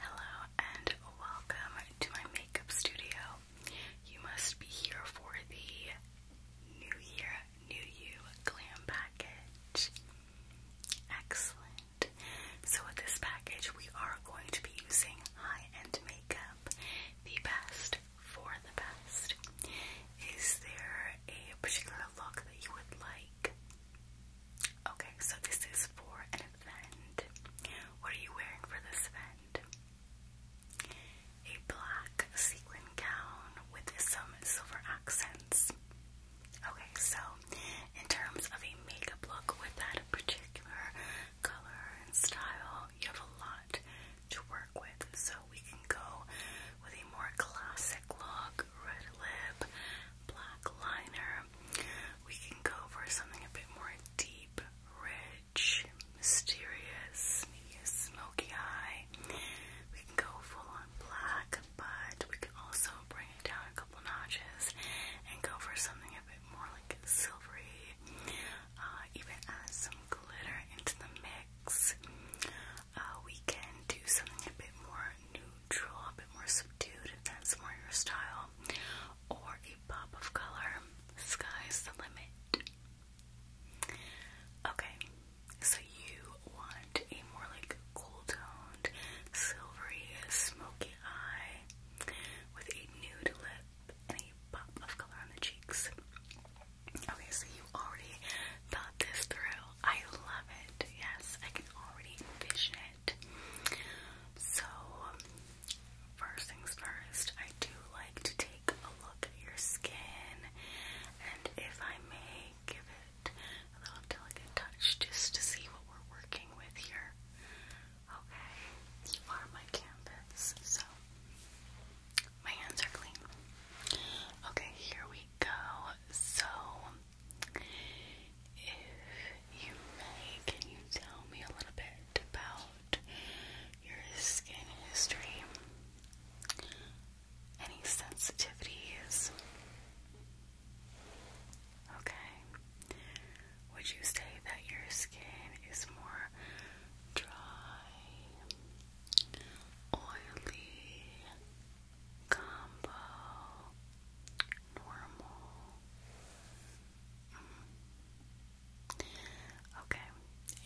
Hello and welcome to my makeup studio. You must be here for the New Year, New You glam package. Excellent. So, with this package, we are going to be using high end makeup. The best for the best. Is there a particular look that you would like? Okay, so this is for an event. What are you wearing for this event? A black sequin gown with some silver accents. Okay, so in terms of a makeup look with that particular color and style, you have a lot to work with. So we can go with a more classic look, red lip, black liner, we can go for something a bit more deep, rich, mysterious, maybe a smoky eye. We can go full on black, but we can also bring it down a couple notches and go for something a bit more like silvery. Uh, even add some glitter into the mix. Uh, we can do something a bit more neutral, a bit more subdued if that's more your style, or a pop of color. Sky's the limit. Okay, so you want a more like cool toned, silvery, smoky eye with a nude lip and a pop of color on the cheeks. Okay, so you already thought this through. I love it. Yes, I can already envision so, first things first, I do like to take a look at your skin, and if I may, give it a little delicate touch just to see what we're working with here. Okay, you are my canvas, so my hands are clean. Okay, here we go. So, if you may, can you tell me a little bit about your skin history? Any sensitivities? Okay. Would you say that your skin is more dry, oily, combo, normal. Mm-hmm. Okay.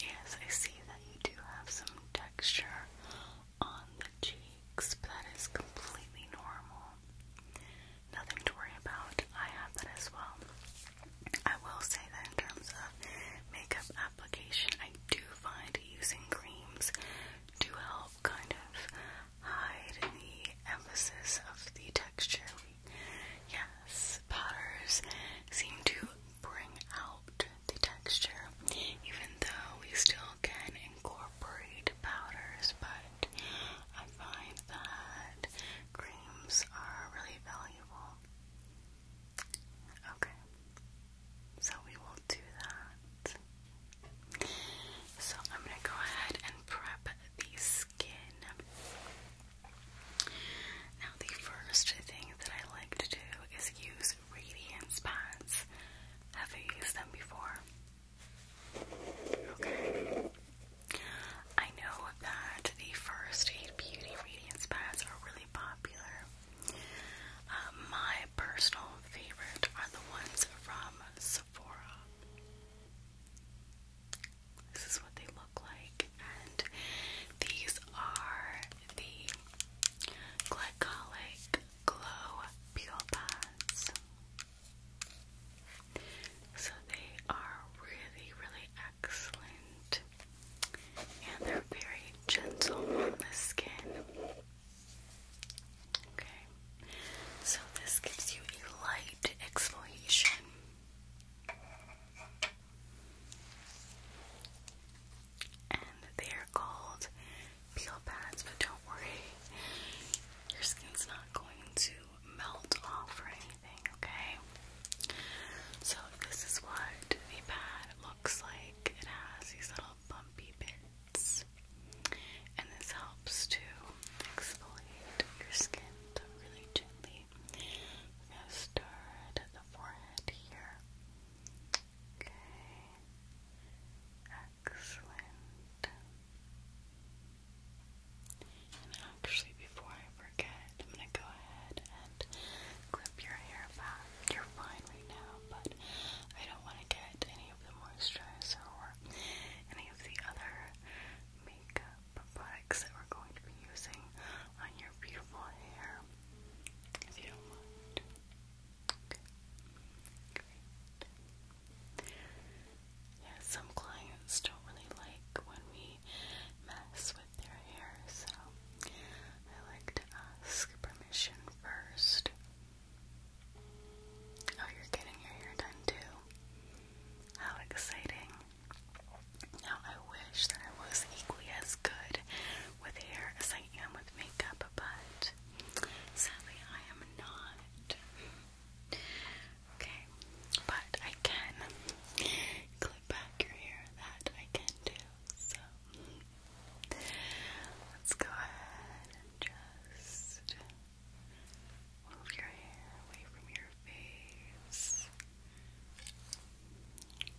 Yes, I see that you do have some texture on the cheeks, that is completely normal. Nothing to worry about. I have that as well. I will say that in terms of makeup application, I do find using creams to help kind of hide the emphasis of the texture. We, yes, powders seem to bring out the texture, even though we still can incorporate powders, but I find that creams are really valuable. Okay, so we will do that. So I'm gonna go ahead and prep the skin. Now the first thing that I like to do is use radiance pads. Have you used them before? Okay. I know that the first aid beauty radiance pads are really popular. Um, my personal favorite are the ones from Sephora. This is what they look like, and these are the glycolic glow peel pads. So they are really, really excellent, and they're very gentle on the skin. Okay, so this gives you a light exfoliation. And they are called peel pads, but don't worry, your skin's not going to melt off or anything, okay? So, this is what the pad looks like. It has these little bumpy bits and this helps to exfoliate your skin really gently. I'm gonna start at the forehead here. Okay. Excellent. And actually, before I forget, I'm gonna go ahead and clip your hair back. You're fine right now, but I don't want to get any of the moisturizer or any of the other makeup products that we're going to be using on your beautiful hair, if you do Yeah, some clients don't really like when we mess with their hair, so I like to ask permission first. Oh, you're getting your hair done too. How exciting. Now, I wish that I was equally as good with hair as I am with makeup, but sadly, I am not. Okay, but I can clip back your hair, that I can do. So, let's go ahead and just. Move your hair away from your face.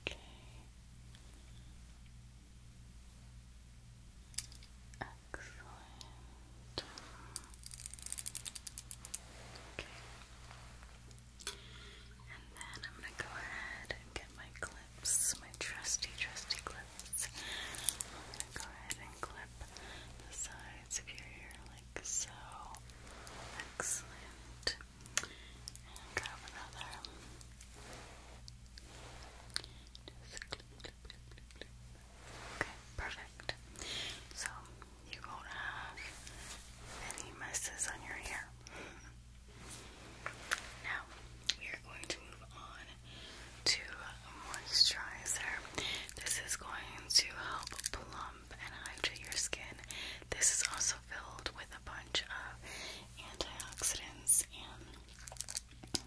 Okay. Excellent. Okay. And then I'm going to go ahead and get my clips, my trusty, trusty clips. I'm going to go ahead and clip the sides of like so. Excellent. grab another. Okay, perfect. So you won't have any messes on your hair. Now we are going to move on to moisturizer. This is going to help plump and hydrate your skin. This is also filled with a bunch of antioxidants and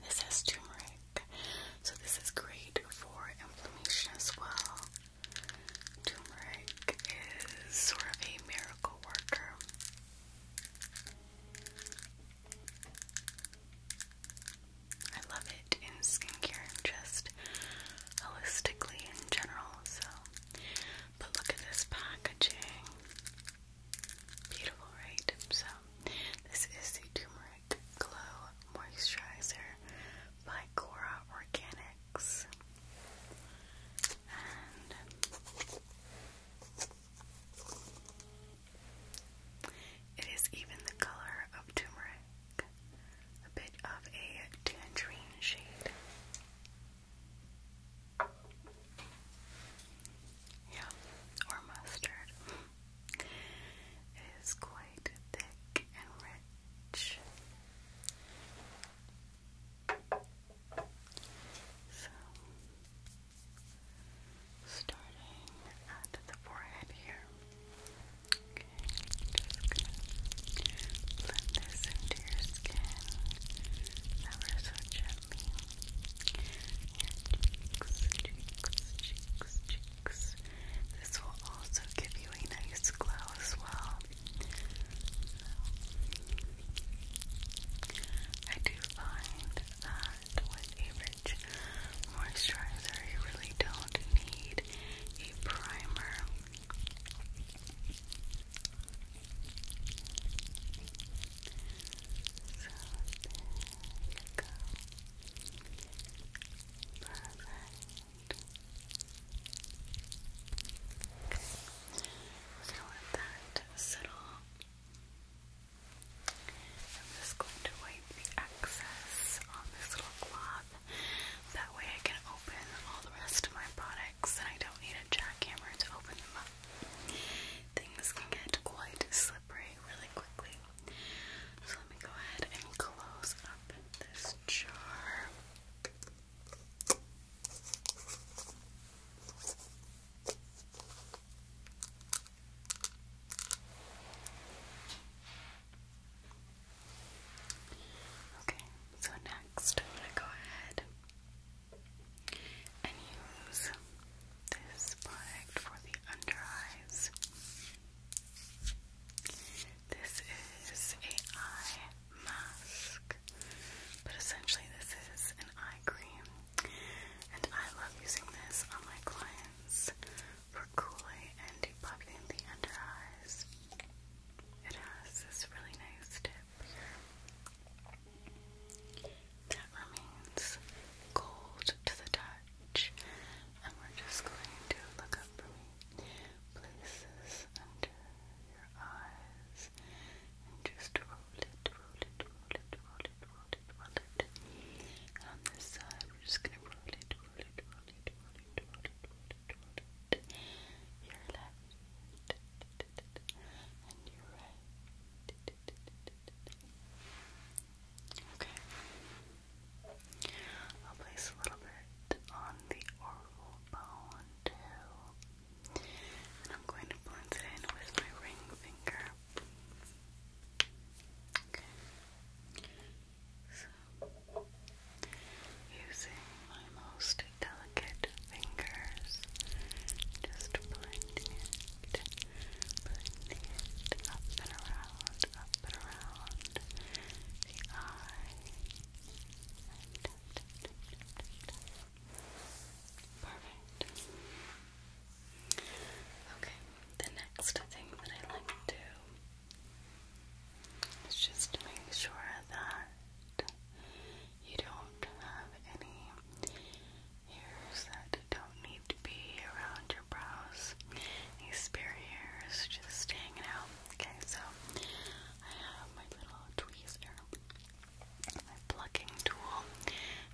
this has turmeric. So this is great for inflammation as well. Turmeric is sort of a miracle worker. I love it in skincare, just holistically in general. So, but look at this packaging. Beautiful, right? So, this is the Turmeric Glow Moisturizer by Cora Organics. And it is even the color of turmeric a bit of a tangerine shade. Yeah, or mustard. It is quite thick and rich. So, starting at the forehead here gonna blend this your skin, ever so gently. cheeks, cheeks, cheeks, cheeks. This will also give you a nice glow as well. I do find that with a Rich moisturizer. You really don't need a primer. So there you go. Perfect. Okay. So let that settle. I'm just going to wipe the excess on this little glove top. That way I can open all the rest of my products and I don't need a jackhammer to open them up. Things can get quite slippery really quickly. So let me go ahead and close up this jar. Okay. Okay, so next I'm going to go ahead and use this product for the under eyes. This is a eye mask, but essentially this is an eye cream, and I love using this on my clients for cooling and depuffing the under eyes. It has this really nice tip here that remains cold to the touch, and we're just going to look up from places under your eyes and just roll it, roll it, roll it, roll it, roll it, roll it. on this side, we're just gonna roll it, twirl it, left and your right. Okay. I'll place a little bit on the oral bone too. And I'm going to blend it in with my ring finger. Okay. So, using my most delicate fingers, just blending it, blending it up and around, up and around the eye. Perfect. Okay, the next thing that I like to do Let's just make sure that you don't have any hairs that don't need to be around your brows. These spare hairs just hanging out. Okay, so I have my little tweezer, my plucking tool,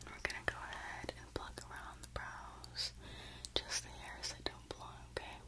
we're gonna go ahead and pluck around the brows, just the hairs that don't belong, okay?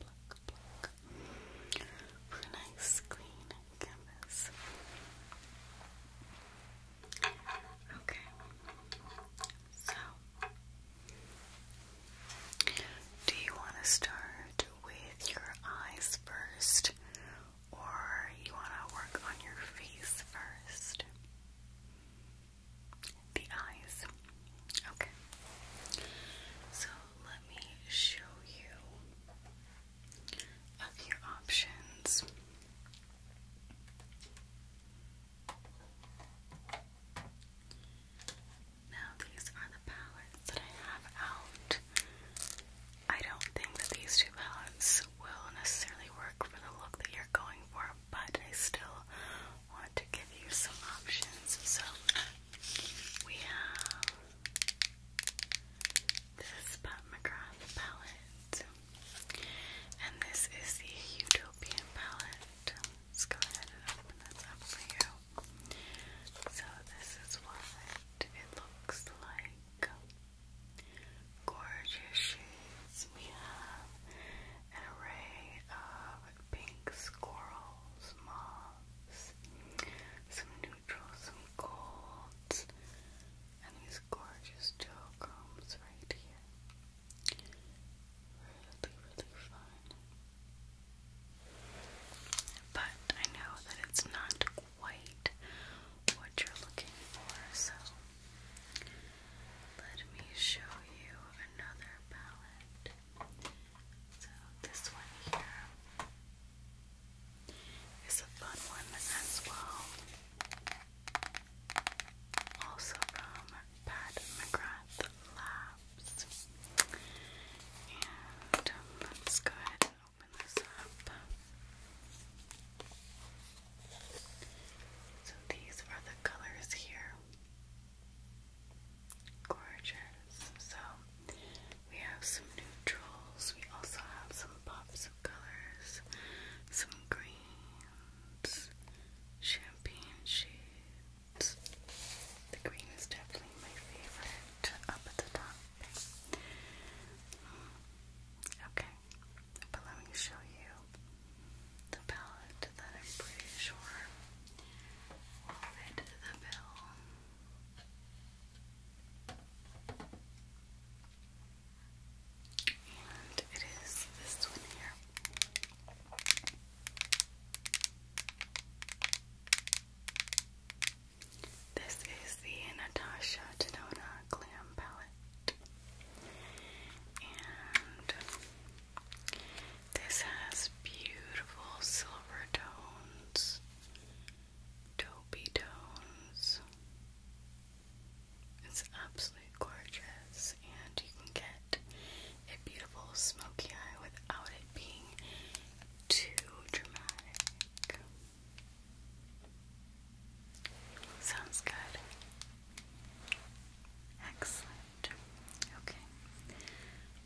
pluck, for a nice clean canvas. Okay, so do you want to start with your eyes first, or you want to work on your face first? the eyes. Okay. So let me show you a few options. Now, these are the palettes that I have out. I don't think that these two palettes will necessarily work for the look that you're going for, but I still want to give you some options. So we have this Pat McGrath palette, and this is the Utopian palette. Let's go ahead and open this up for you. So this is what it looks like. Gorgeous shades. We have an array of pink squirrels, moths, some neutrals, some golds, and these gorgeous gel combs right here. Really, really fun. But I know that it's not quite what you're looking for, so let me show you another palette. So, this one here is a fun one as well. Also from Pat McGrath Labs. And um, let's go ahead and open this up. So, these are the colors here. Gorgeous. So we have some neutrals. We also have some pops of colors, some greens, champagne shades. The green is definitely my favorite up at the top. Okay, but let me show you the palette that I'm pretty sure will the bill. And it is this one here. This is the Natasha Denona Glam Palette. And this has beautiful silver tones, taupey tones. It's absolutely gorgeous, and you can get a beautiful smoky eye without it being too dramatic. Sounds good. Excellent. Okay.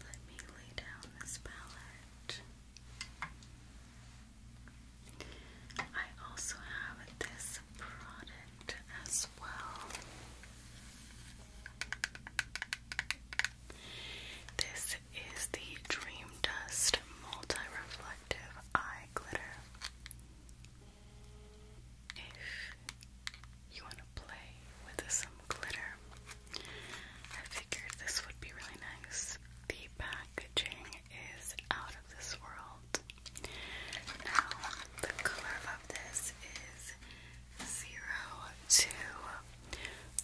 Let me lay down this palette. I also have this product as well. This is the Dream Dust Multi Reflective Eye Glitter. You want to play with some glitter. I figured this would be really nice. The packaging is out of this world. Now, the color of this is zero to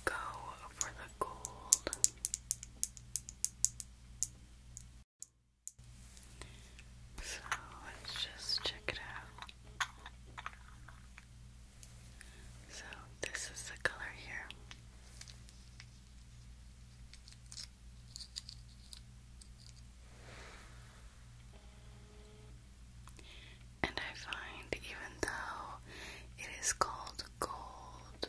go for the gold. So let's just check it out. So, this is the color here. And I find, even though it is called gold,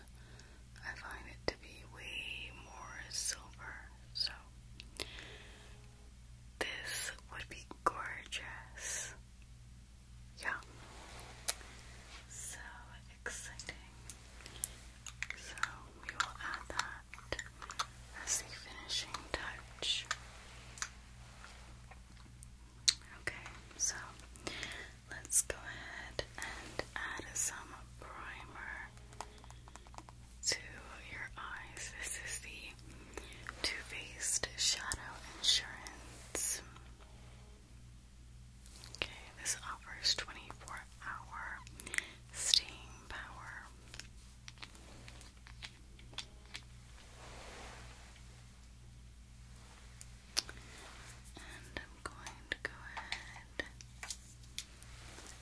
I find it to be way more silver. So, this would be gorgeous. Yeah. So exciting. So we will add that as the finishing touch. Okay, so let's go ahead and add some primer to your eyes. This is the Too Faced Shadow Insurance. Okay, this offers 24 hour staying power. And I'm going to go ahead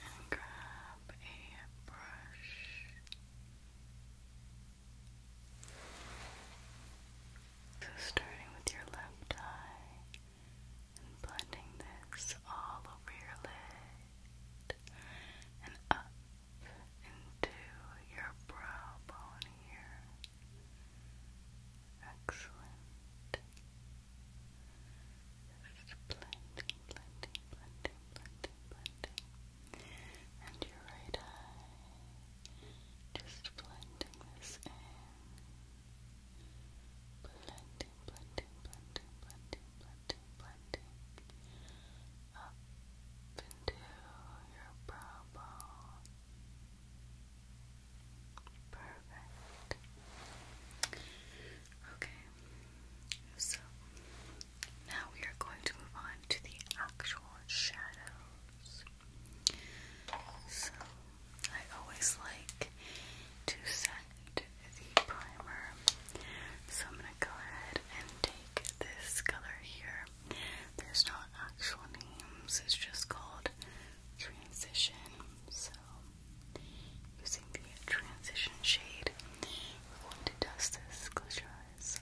and grab a brush. So, starting with your left eye and blending this all over your lid and up into your brow bone here. Excellent. Just blending, blending, blending, blending blending. And your right eye, just blending this in. Blending, blending, blending, blending, blending, blending. Up into your brow bone. Perfect. Okay, so now we are going to move on to the actual shadows. So I always like to set the primer. So I'm going to go ahead and take this color here. There's not actual names, it's just called transition. So using the transition shade, we're going to dust this. Close your eyes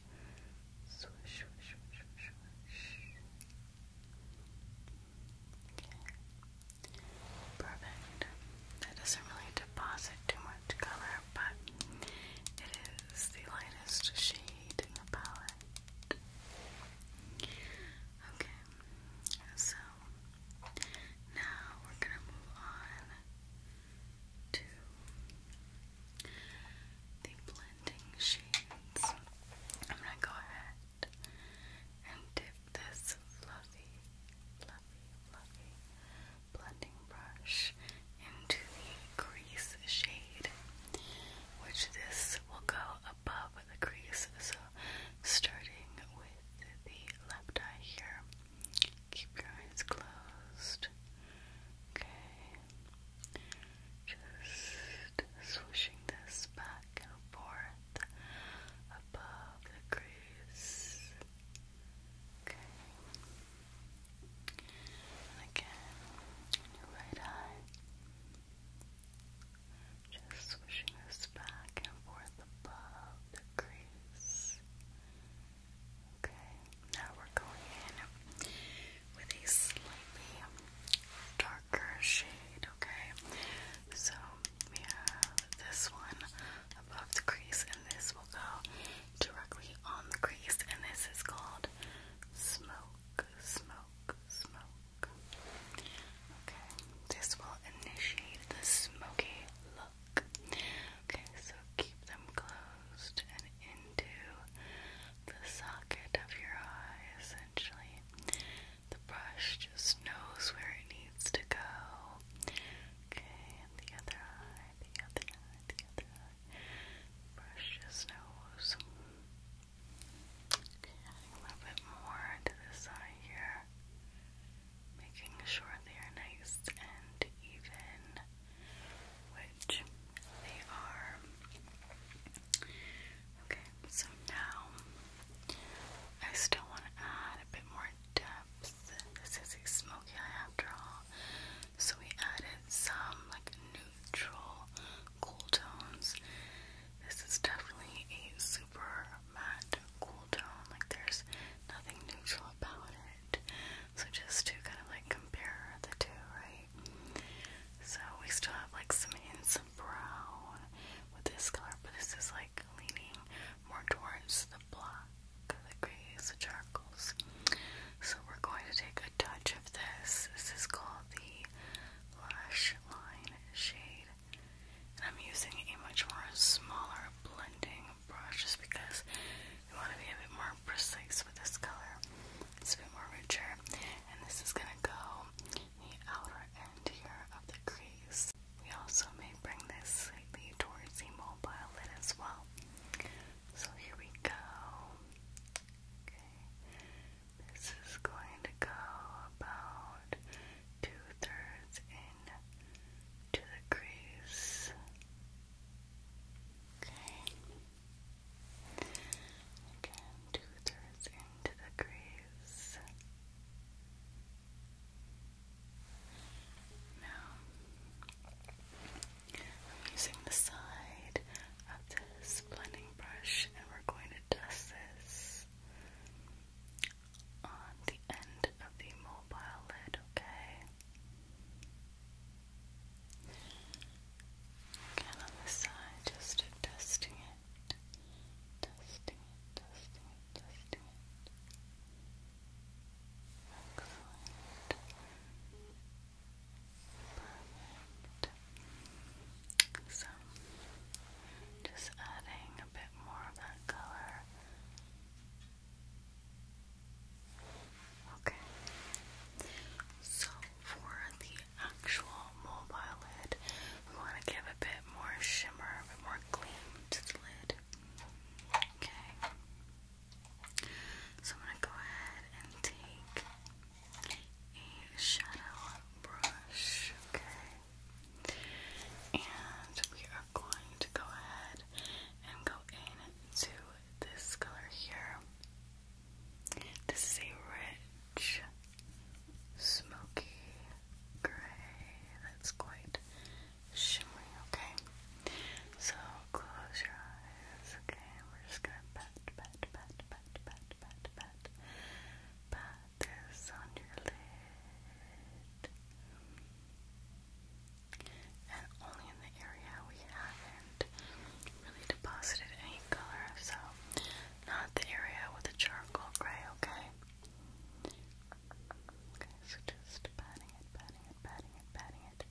Perfect. That doesn't really deposit too much color, but it is the lightest shade in the palette. Okay, so now we're gonna move on to the blending shades. I'm gonna go ahead and dip this fluffy, fluffy, fluffy blending brush into the crease shade, which this will go above the crease. So, starting with the left eye here, keep your eyes closed. Okay, just swishing this back and forth above the crease. Okay. again, your right eye. Just swishing this back and forth above the crease. Okay, now we're going in with a slightly darker shade, okay? So we have this one above the crease, and this will go directly on the crease, and this is called Smoke, Smoke, Smoke. Okay, this will initiate the smoky look. Okay, so keep them closed and into the socket of your eyes, essentially. The brush just knows where it needs to go. Okay, and the other eye, the other eye, the other eye. brush just knows. Okay, a little bit more to this eye here. Making sure they are nice and even, which they are. Okay, so now I still want to add a bit more depth. This is a smoky eye after all. So we added some like neutral cool tones. This is definitely a super matte cool tone. Like there's nothing neutral about it. So just to kind of like compare the two, right? So we still have like some hints of brown with this color, but this is like leaning more towards the black, the grays, the charcoals. So we're going to take a touch of this. This is called the Lash Line Shade. And I'm using a much more smaller blending brush just because we want to be a bit more precise with this color. It's a bit more richer. And this is going to go the outer end here of the crease. We also may bring this slightly towards the mobile lid as well. So here we go. Okay. This is going to go about two-thirds in to the crease. Okay. Again, two thirds into the crease. Now, I'm using the side of this blending brush, and we're going to dust this on the end of the mobile lid, okay? Again on this side, just dusting it, dusting it, dusting it, dusting it. Excellent. Perfect. So, just adding a bit more of that color. Okay. So for the actual mobile lid, we want to give a bit more shimmer, a bit more gleam to the lid. Okay. So I'm gonna go ahead and take a shadow brush, okay? And we are going to go ahead and go in to this color here. This is a rich, smoky gray that's quite shimmery, okay? So close your eyes, okay? We're just gonna pat, pat, pat, pat, pat, pat, pat, pat this on your lid and only in the area we haven't really deposited any color, so not the area with the charcoal gray, okay? Okay, so just patting it, patting it, patting it, patting it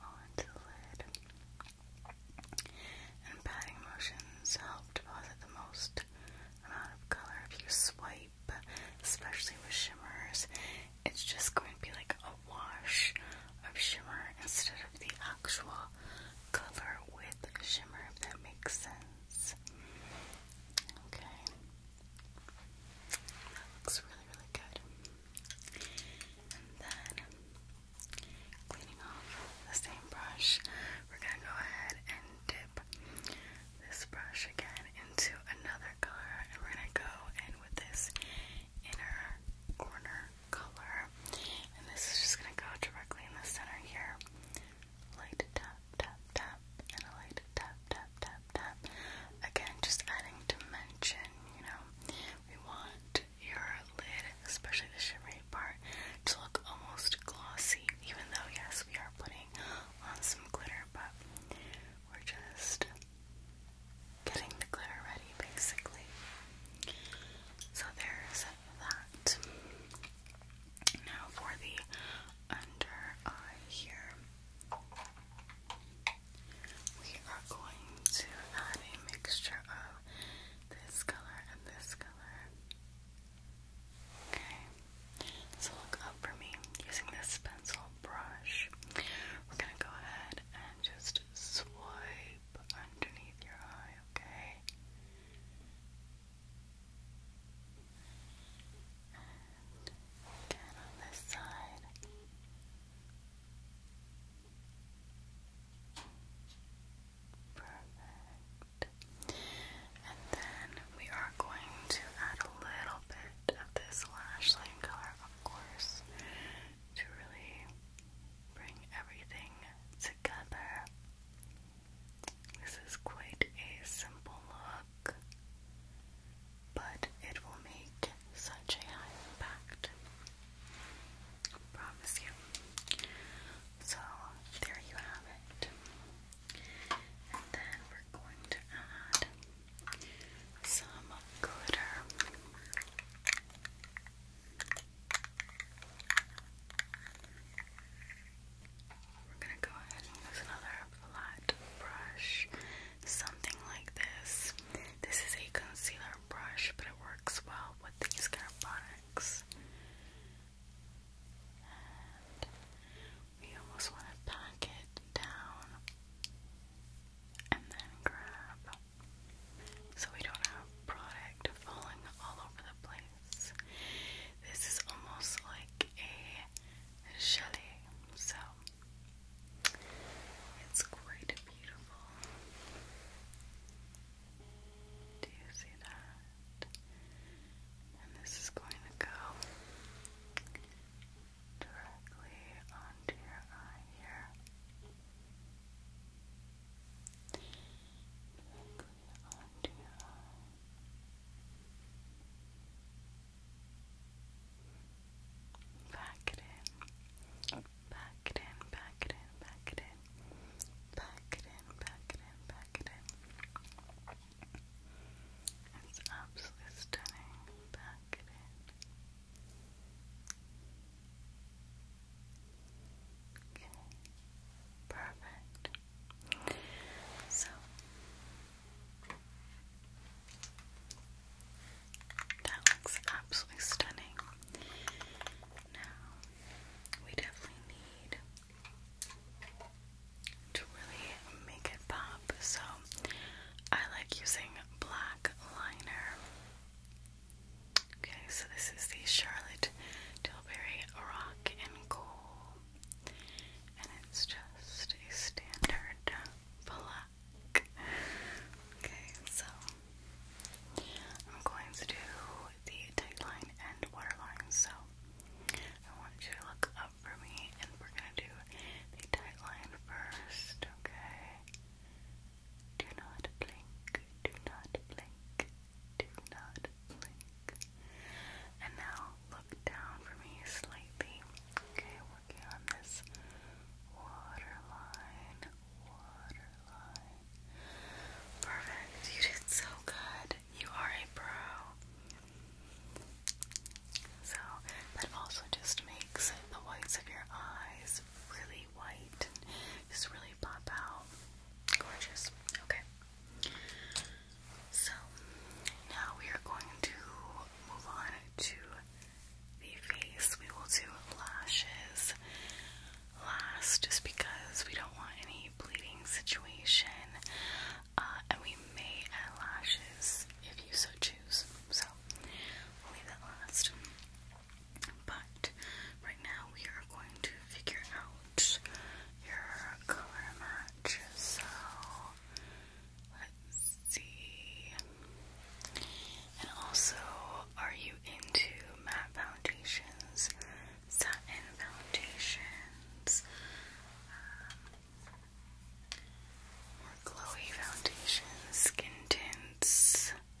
onto the lid. And patting motions help deposit the most amount of color if you swipe, especially with shimmers it's just going to be like a wash of shimmer instead of the actual color with shimmer, if that makes sense. Okay. That looks really, really good. And then, cleaning off the same brush, we're going to go ahead and dip this brush again into another color, and we're going to go in with this inner corner color. And this is just gonna go directly in the center here. Light tap, tap, tap, and a light tap, tap, tap, tap. Again, just adding dimension, you know. We want your lid, especially the shimmery part, to look almost glossy, even though, yes, we are putting on some glitter, but we're just getting the glitter ready basically. So there's that. Now for the under eye here. We are going to add a mixture of this color and this color. Okay, so look up for me using this pencil brush. We're gonna go ahead just swipe underneath your eye, okay? again on this side. Perfect. And then we are going to add a little bit of this lash color, of course to really bring everything together. This is quite a simple look, but it will make such a high impact. promise you. So, there you have it. And then we're going to add some glitter. We're going to go ahead and use another flat brush, something like this. This is a concealer brush, but it works well with these kind of products. And we almost want to pack it down and then grab so we don't have product falling all over the place. This is almost like a chalet, so it's quite beautiful. Do you see that? And this is going to go directly onto your eye here. onto your eye. it in. Back it in, back it in, back it in. Back it in, back it in, back it in. It's absolutely stunning. Back it in. Perfect. So that looks absolutely stunning. Now, we definitely need to really make it pop, so I like using black liner. Okay, so this is the Charlotte Tilbury Rock and Coal, and it's just a standard black. Okay, so I'm going to do the tagline and waterline. So I want you to look up for me, and we're gonna do the tagline first. Okay. Do not blink, do not blink, do not blink. And now look down for me slightly. Okay, working on this waterline, waterline. Perfect, you did so good. You are a pro. So, that also just makes the whites of your eyes really white just really pop out. Gorgeous. Okay. So now we are going to move on to the face. We will do lashes last just because we don't want any bleeding situation. Uh, and we may add lashes if you so choose. So we'll leave that last. But right now we are going to figure out your color match. So let's see. And also, are you into matte foundations, satin foundations, um, or glowy foundations, skin tints? Um,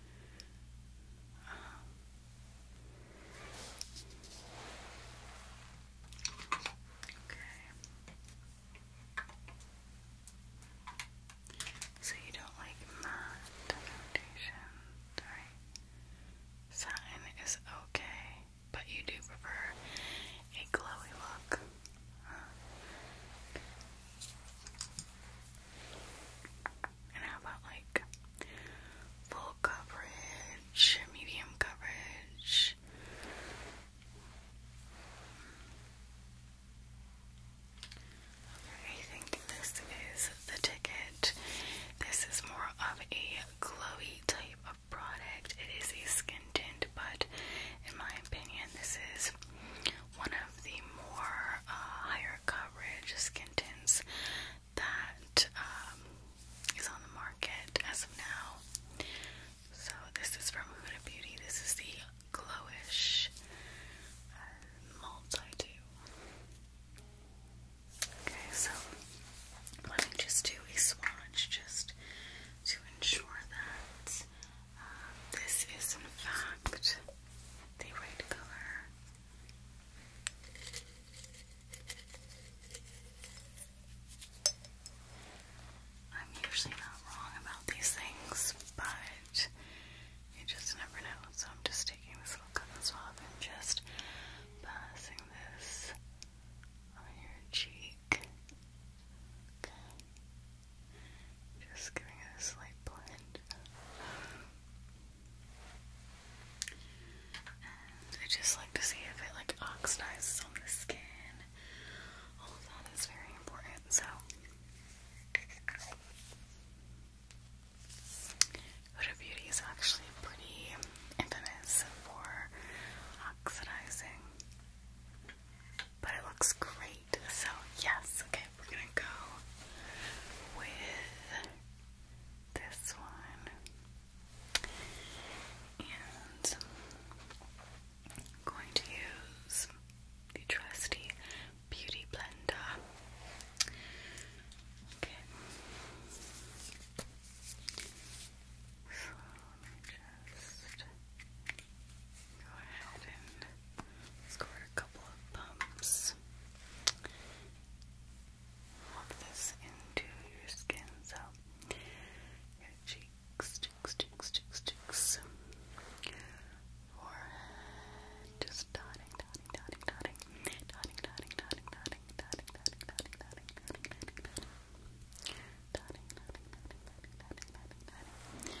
So you don't like matte foundations, right? Satin is okay, but you do prefer a glowy look. And how about like full coverage, medium coverage? I think this is the ticket. This is more of a glowy type of product. It is a skin tint, but in my opinion, this is one of the more uh, higher coverage skin tints that um, on the market as of now. So this is from Huda Beauty. This is the Glowish uh, Multi Dew. Okay, so let me just do a swatch just to ensure that uh, this is in fact the right color. I'm usually not wrong about these things, but you just never know. So I'm just taking this little cotton swab and just passing this on your cheek. Just giving it a slight blend. I just like to see if it like oxidizes on the skin. All of that is very important, so Huda Beauty is actually pretty infamous for oxidizing but it looks great. So yes, okay, we're gonna go with this one. And I'm going to use the trusty beauty blender. Okay. So let just Go ahead and score a couple of pumps. Pop this into your skin, so your cheeks, cheeks, cheeks, cheeks, cheeks, forehead, just dotting, dotting, dotting, dotting, dotting, dotting, dotting, dotting, dotting, dotting, dotting, dotting, dotting, dotting, dotting, dotting, dotting, dotting, dotting,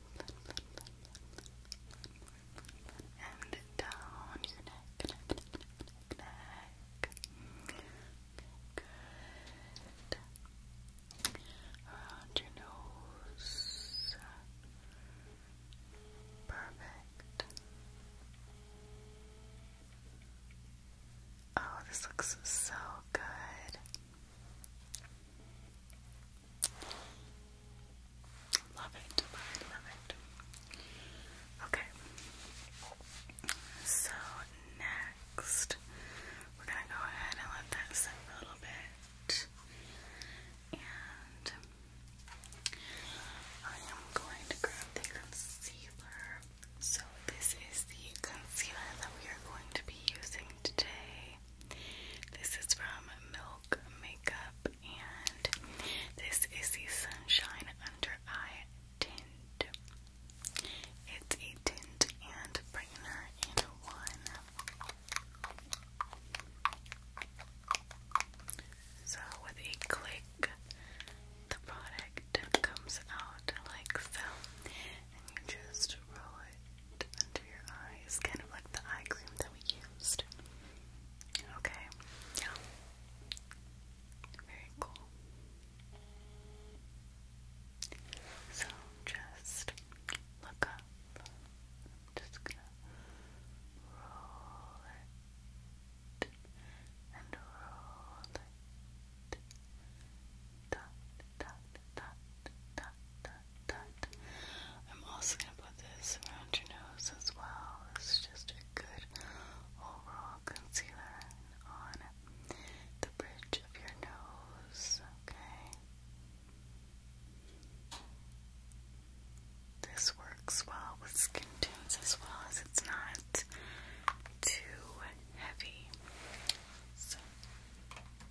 and down your neck, neck, Around your nose. Perfect. Oh, this looks so good. Love it. Love it. Okay. So next, we're going to go ahead and let that sit a little bit. And I am going to grab the concealer. So this is the concealer that we are going to be using today. This is from Milk Makeup, and this is the Sunshine Under Eye Tint. It's a tint and brightener in one. So, with a click, the product comes out like so, and you just roll it under your eyes, kind of like the eye cream that we used. Okay, yeah. Very cool. So just look up. just gonna roll it and roll it I'm also going to put this around your nose as well. It's just a good overall concealer on the bridge of your nose, okay? This works well with skin tones as well as it's not too heavy. So,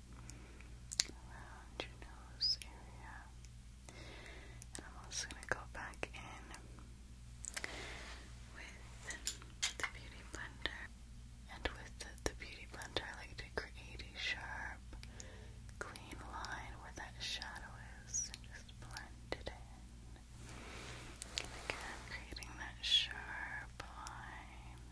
around your nose area. And I'm also going to go back in with the Beauty Blender. And with the, Beauty Blender, I like to create a sharp, clean line where that shadow is and just blend it in. again, creating that sharp line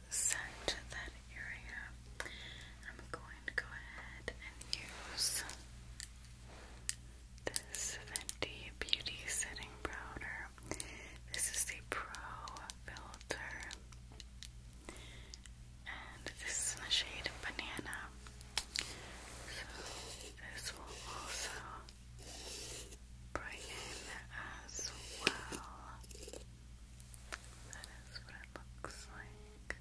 set that area. I'm going to go ahead and use this Fenty Beauty Setting Powder. This is the Pro Filter, and this is in the shade Banana. So, this will also brighten as well. That is what it looks like.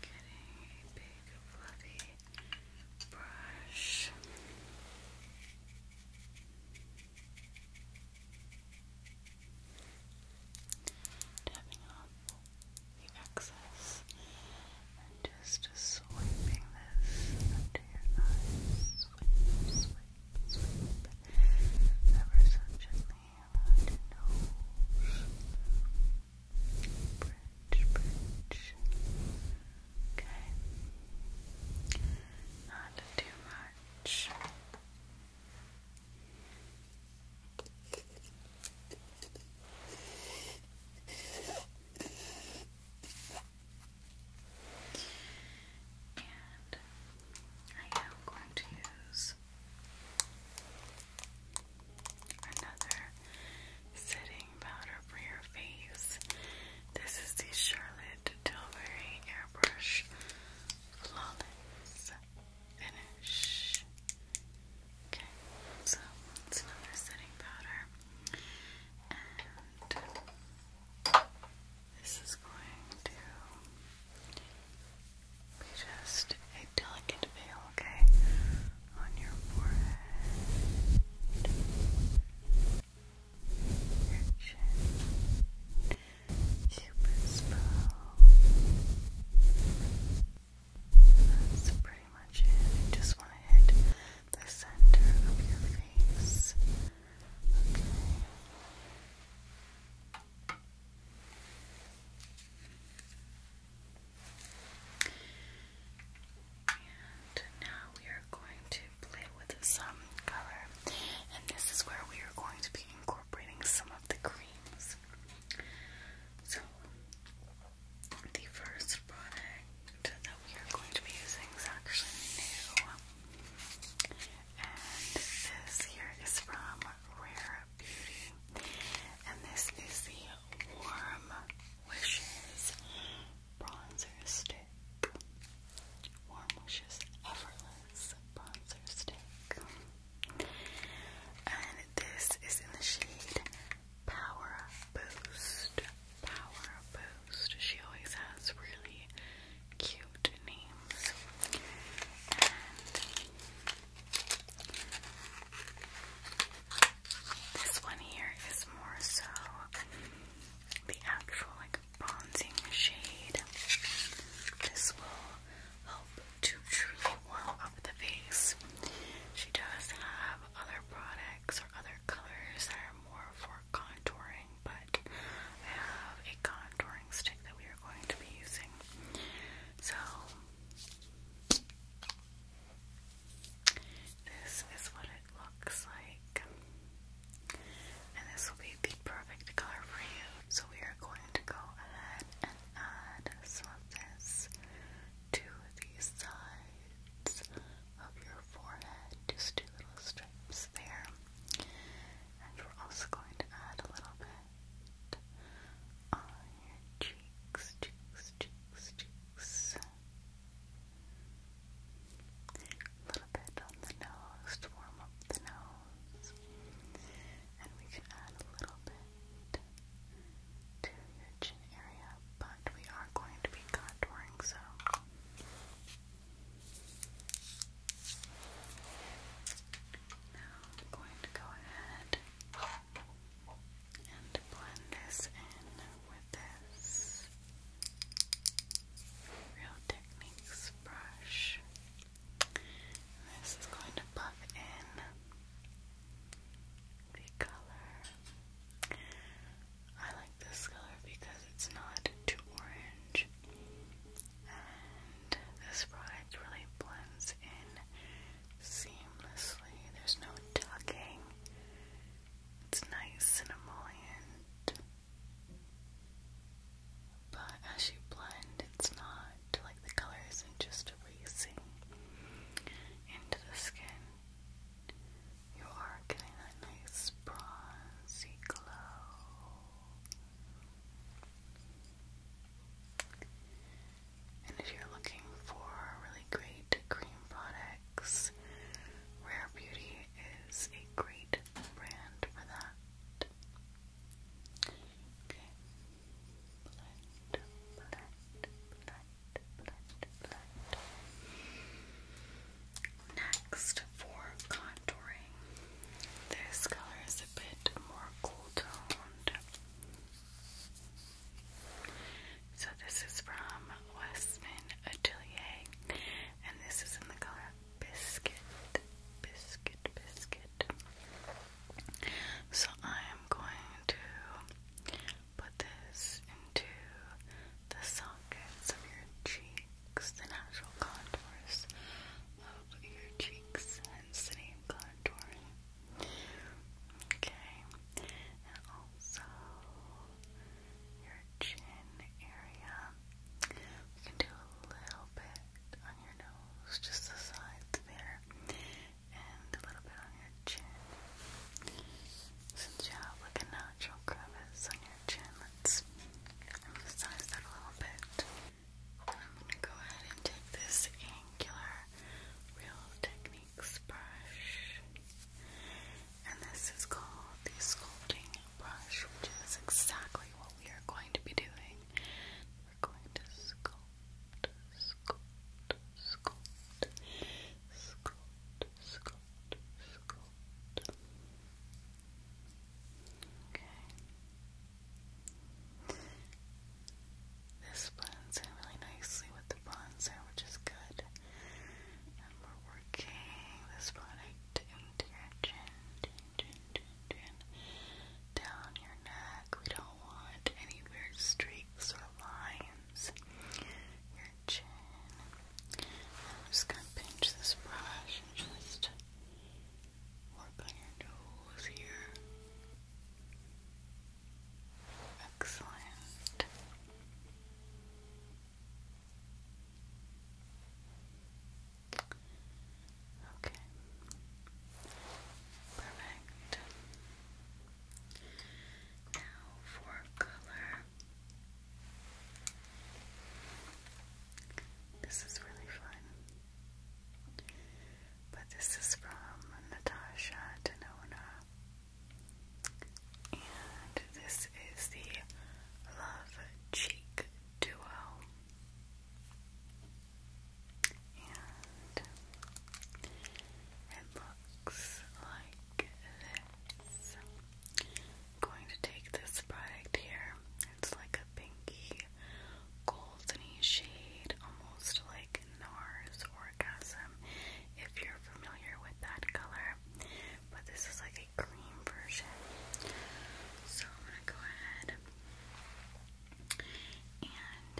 getting a big fluffy brush. Tapping off the excess and just swiping this under your eyes sleep ever so gently nose bridge, bridge okay not too much and I am going to use another setting powder for your face. This is the Charlotte Tilbury Airbrush Flawless Finish. Okay, so it's another setting powder. This is going to be just a delicate veil, okay? On your forehead, your chin, cupid's bow. That's pretty much it. just want to hit the center of your face. And now we are going to play with some color, and this is where we are going to be incorporating some of the creams. So, the first product that we are going to be using is actually new. And this here is from Rare Beauty. And this is the Warm Wishes Bronzer Stick. Warm Wishes Effortless Bronzer Stick. And this is in the shade Power Boost. Power Boost. She always has really cute names. this one here is more so the actual like bronzing shade. This will help to truly warm up the face. She does have other products or other colors more for contouring, but I have a contouring stick that we are going to be using. So, this is what it looks like. And this will be the perfect color for you. So, we are going to go ahead and add some of this to the sides of your forehead. Just two little strips there. And we're also going to add a little bit on your cheeks, cheeks, cheeks, cheeks. A little bit on the nose to warm up the nose. And we can add a little bit to your chin area, but we are going to be contouring, so now I'm going to go ahead and blend this in with this Real Techniques brush. This is going to buff in the color. I this color because it's not too orange. And this product really blends in seamlessly. There's no tugging. It's nice and emollient. But as you blend, it's not like the color isn't just erasing into the skin. You are getting that nice bronzy glow. And if you're looking for really great cream products, Rare Beauty is a great brand for that. Next, for contouring, this color is a bit more cool toned. So, this is from Westman Atelier, and this is in the color Biscuit. Biscuit, biscuit. So, I am going to put this into the sockets of your cheek the natural contours of your cheeks, hence the contouring. Okay, and also your chin area. We can do a little bit on your nose, just the sides there, and a little bit on your chin. Since you have like a natural crevice on your Let's emphasize that a little bit. I'm gonna go ahead and take this angular Real Techniques brush, and this is called the sculpting brush, which is exactly what we are going to be doing. We're going to sculpt, sculpt, sculpt, sculpt, sculpt, sculpt. Okay. This blends in really nicely with the bronzer, which is good. And we're working this product into your chin, down your neck. We don't want any streaks or lines. Your chin. I'm just gonna pinch this brush just Work on your nose here. Excellent. Okay. Perfect. Now for color. This is really fun. But this is from Natasha Denona. And this is the Love Cheek Duo. And it looks like this going to take this product here. It's like a pinky goldeny shade, almost like NARS Orgasm, if you're familiar with that color. But this is like a cream version. So I'm going to go ahead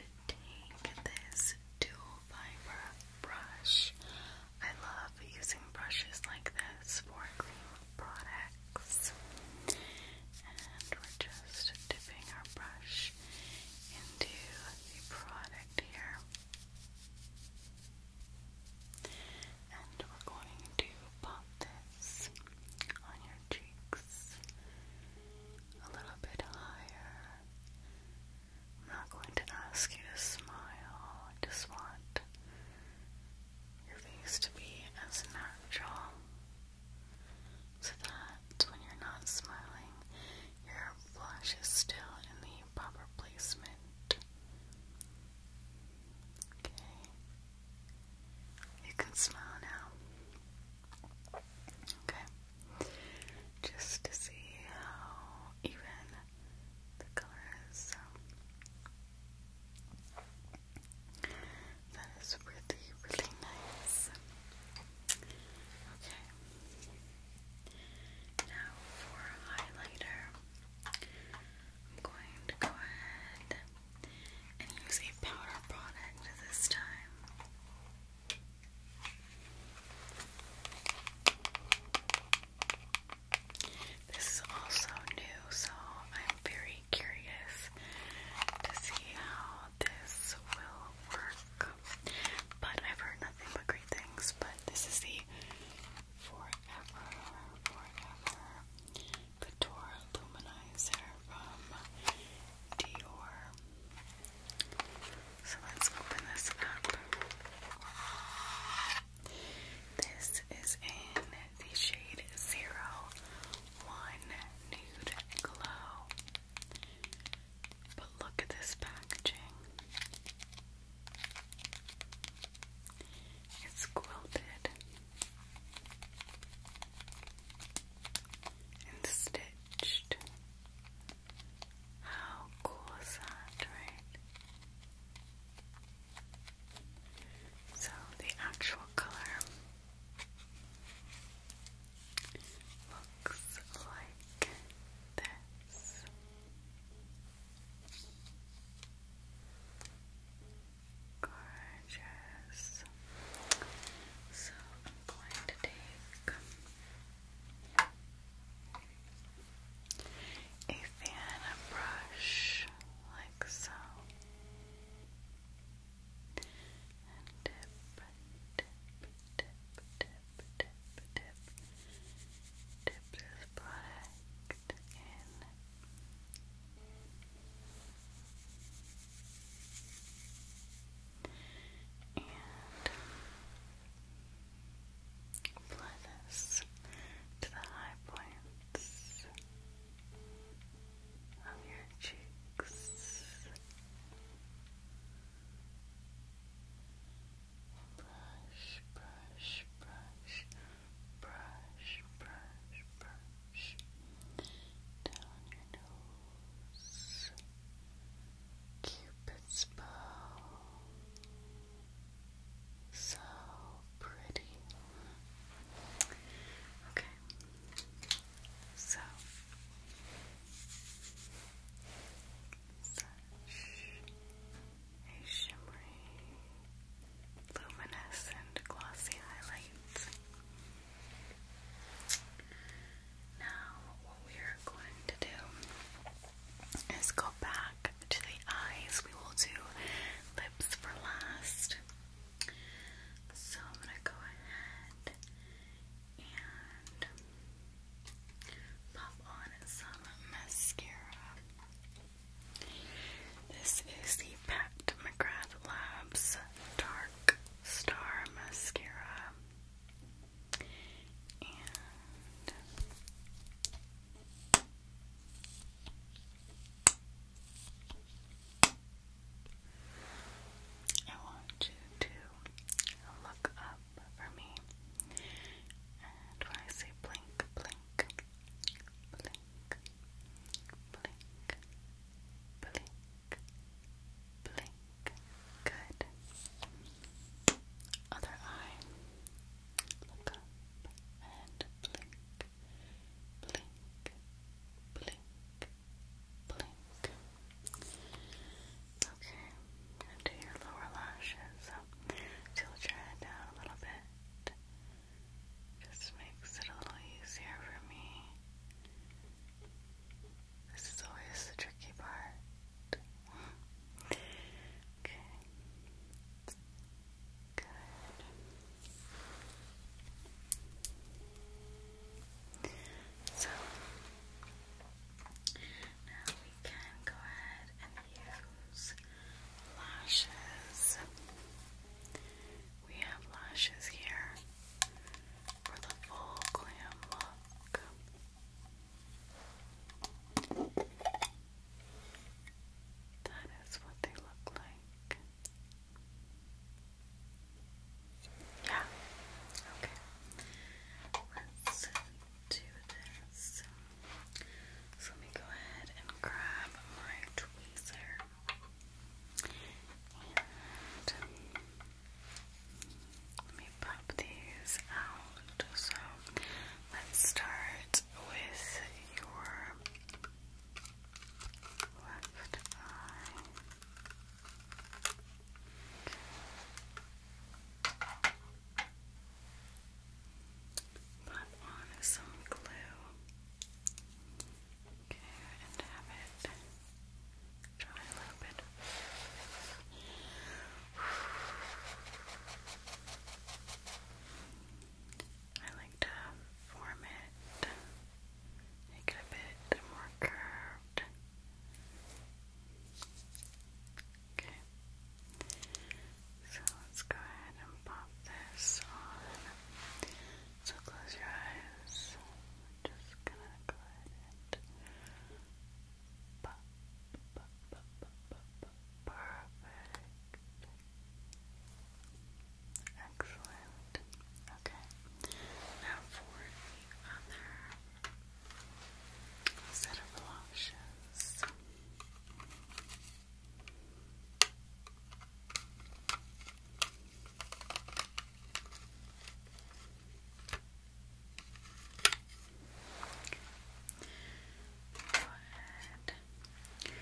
and take this dual fiber brush. I love using brushes like this for cream products. And we're just dipping our brush into the product here. And we're going to pop this on your cheeks a little bit higher. I'm not going to ask you to smile. I just want your face to be as natural so that when you're not smiling, your blush is still in the proper placement. Okay. You can smile now. Okay. Just to see how even the color is. That is really, really nice. Okay. Now for highlighter, I'm going to go ahead and use a powder product this time. This is also new, so I'm very curious to see how this will work. But I've heard nothing but great things, but this is the Forever, Forever Couture Luminizer from Dior. So let's open this up. This is in the shade Zero One Nude Glow. But look at this packaging. It's quilted and stitched. How cool is that, right? So the actual color looks like this. Gorgeous. So I'm going to take a fan brush like so. And dip, dip, dip, dip, dip, dip, dip this product in. And apply this to the high points of your cheeks. Brush, brush, brush, brush, brush, brush down your nose. Cupid's bow, so pretty. Okay. So a shimmery, luminescent, glossy highlight. Now, what we are going to do is go back to the eyes. We will do lips for last. So I'm going to go ahead and pop on some mascara. This is the Pact McGrath Labs Dark Star Mascara. I want you to look up for me, and when I say blink, blink, blink, blink, blink, blink. Good. Other eye. Look up and blink, blink, blink, blink. Okay, and do your lower lashes. So tilt your head down a little bit. Just makes it a little easier for me. This is always the tricky part. okay. Good. So now we can go ahead and use lashes. We have lashes here for the full glam look. That is what they look like. Yeah. Okay. Let's do this. So let me go ahead and grab my tweezer. let me pop these out. So let's start with your left eye. Put on some glue. Okay, and have it dry a little bit. I like to form it, make it a bit more curved. Okay, so let's go ahead and pop this on. So close your eyes. I'm just gonna go ahead and pop, pop, pop, pop, pop, perfect. Excellent. Okay. Now for the set of lashes. Go ahead and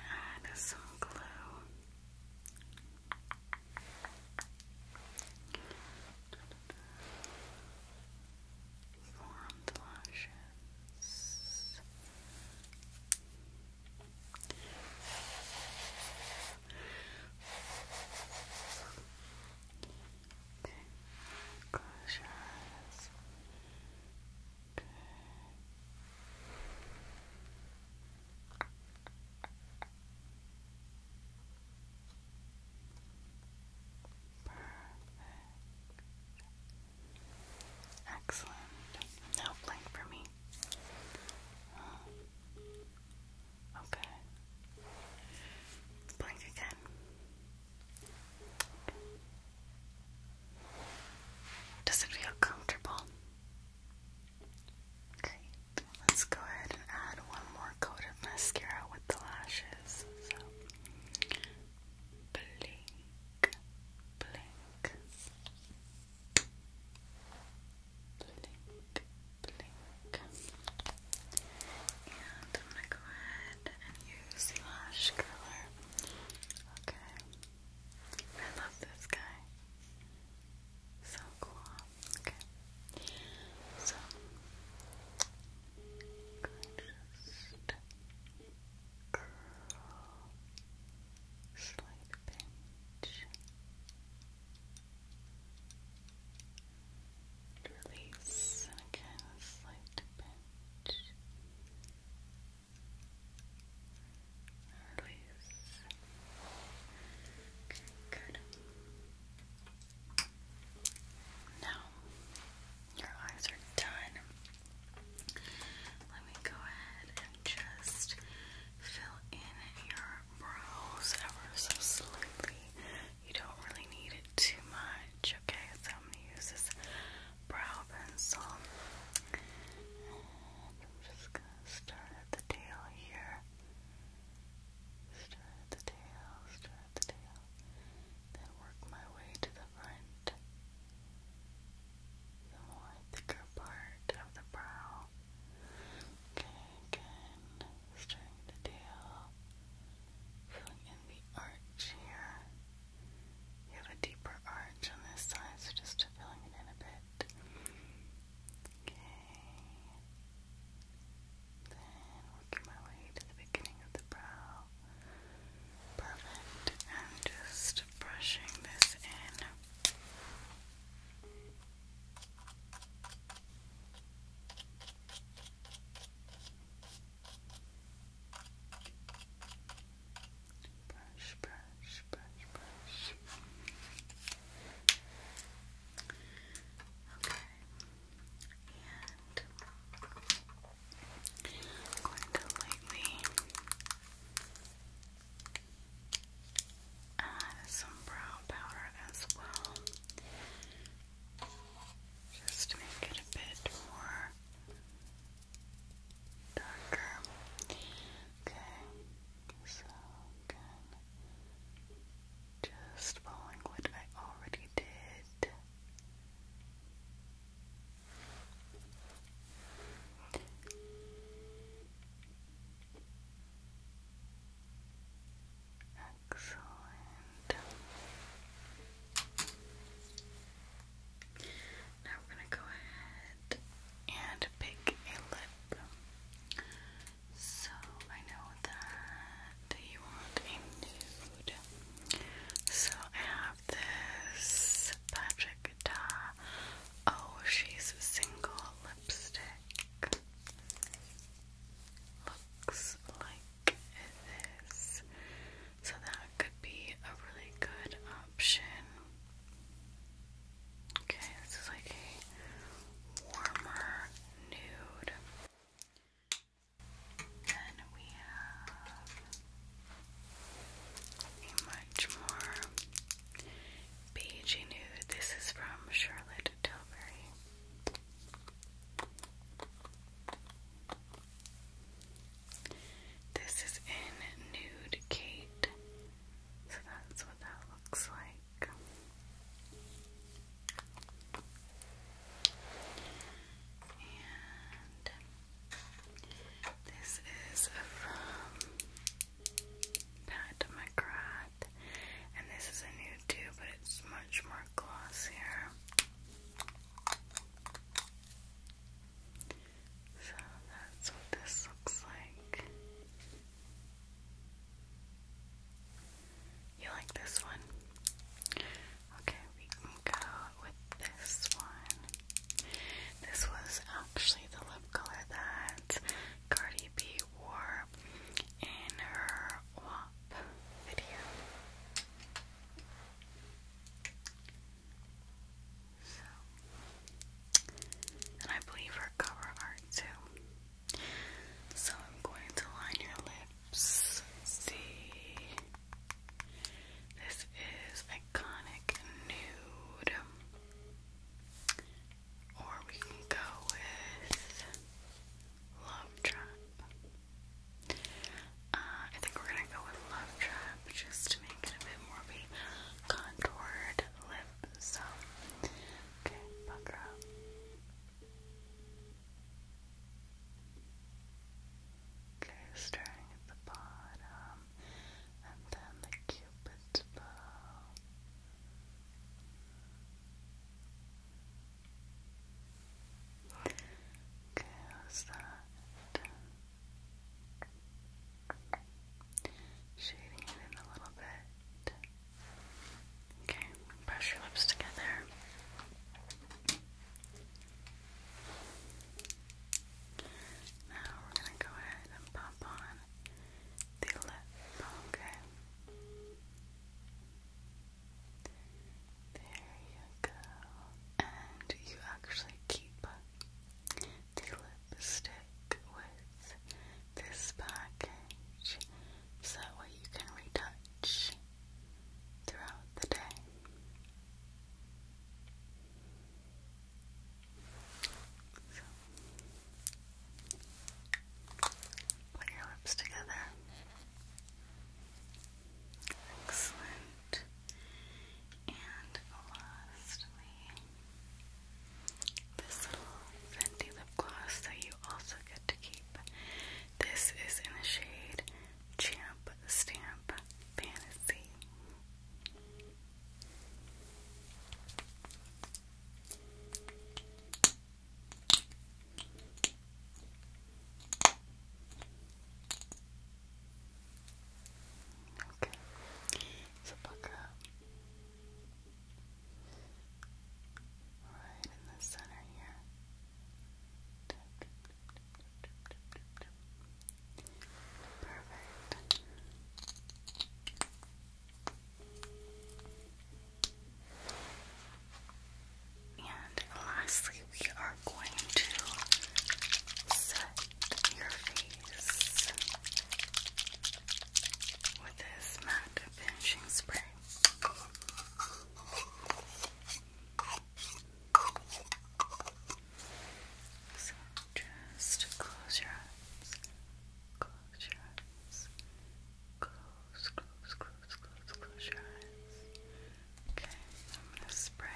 ah, add some glue. Form the lashes. Okay. Close your eyes. Perfect. Excellent. Now blank for me. Uh, okay. Blink again. Okay. Does it feel comfortable? Great. Let's go ahead and add one more coat of mascara with the lashes. blink, blink, blink, blink. And I'm gonna go ahead and use lash curler. Okay. I love this guy. So cool. Okay. So just curl slight pinch. Release again, slight pinch. Loose. Okay, good. Now, your eyes are done. Let me go ahead and just fill in your brows ever so slightly. You don't really need it too much, okay? So I'm going to use this brow pencil. And I'm just going to start at the tail here. Start at the tail, start at the tail. Then work my way to the front. The more thicker part of the brow. Okay, again, starting the tail, filling in the arch here. You have a deeper arch on this side, so just filling it in a bit. Okay. Then working my way to the beginning of the brow. Perfect. And just brushing this in brush, brush, brush, brush. Okay, and I'm going to lightly add some brow powder as well, just to make it a bit more darker. Okay, so just following what I already did. Excellent. Now we're gonna go ahead and pick a lip. So I know that you want a nude. So I have this Patrick Oh, she's a single lipstick. Looks like this. So that could be a really good option. Okay, this is like a warmer nude. Then we have a much more beigey nude. This is from Charlotte Tilbury. This is in Nude Kate so that's what that looks like. And this is from Pat McGrath, and this is a new tube, but it's much more glossier. So that's what this looks like. You like this one? Okay, we can go with this one. This was actually the lip color that Cardi B wore in her WAP video. So, and I believe her cover art too. So I'm going to line your lips. see, this is iconic nude, or we can go with love trap. Uh, I think we're gonna go with love trap just to make it a bit more of a contoured lip. So, okay, pucker up. Okay, starting at the bottom, and then the cupid's bow. Okay, how's Shading it in a little bit. Okay, brush your lips together. Now we're going to go ahead and pop on the lip, okay? There you go. And you actually keep the lipstick with this package so that way you can retouch throughout the day. So, put your lips together. Excellent. And lastly, this little Fenty lip gloss that you also get to keep. This is in the shade Champ Stamp Fantasy. Okay, so buck up. Right in the center here. Perfect. And lastly, we are going to set your face with this matte finishing spray. So just close your eyes. Close your eyes. Close, close, close, close, close your eyes. Okay, I'm gonna spray.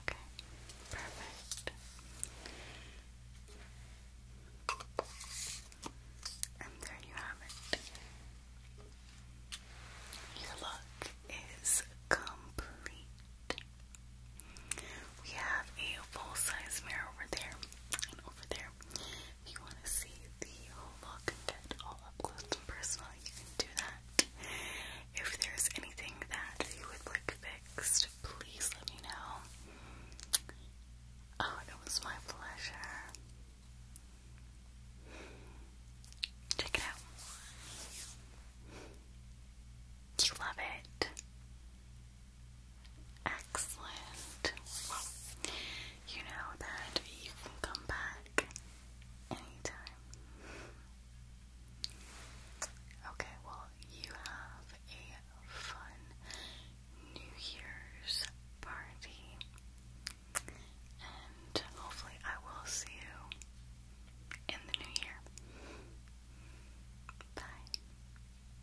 Okay, perfect. And there you have it. Your look is complete. We have a full size mirror over there and over there. If you want to see the whole look and get all up close and personal, you can do that. If there's anything that you would like fixed, please let me know. Oh, it was my pleasure. Check it out. You love it. Excellent. you know that you can come back anytime. Okay, well, you have a fun New Year's party, and hopefully, I will see you in the new year. Bye.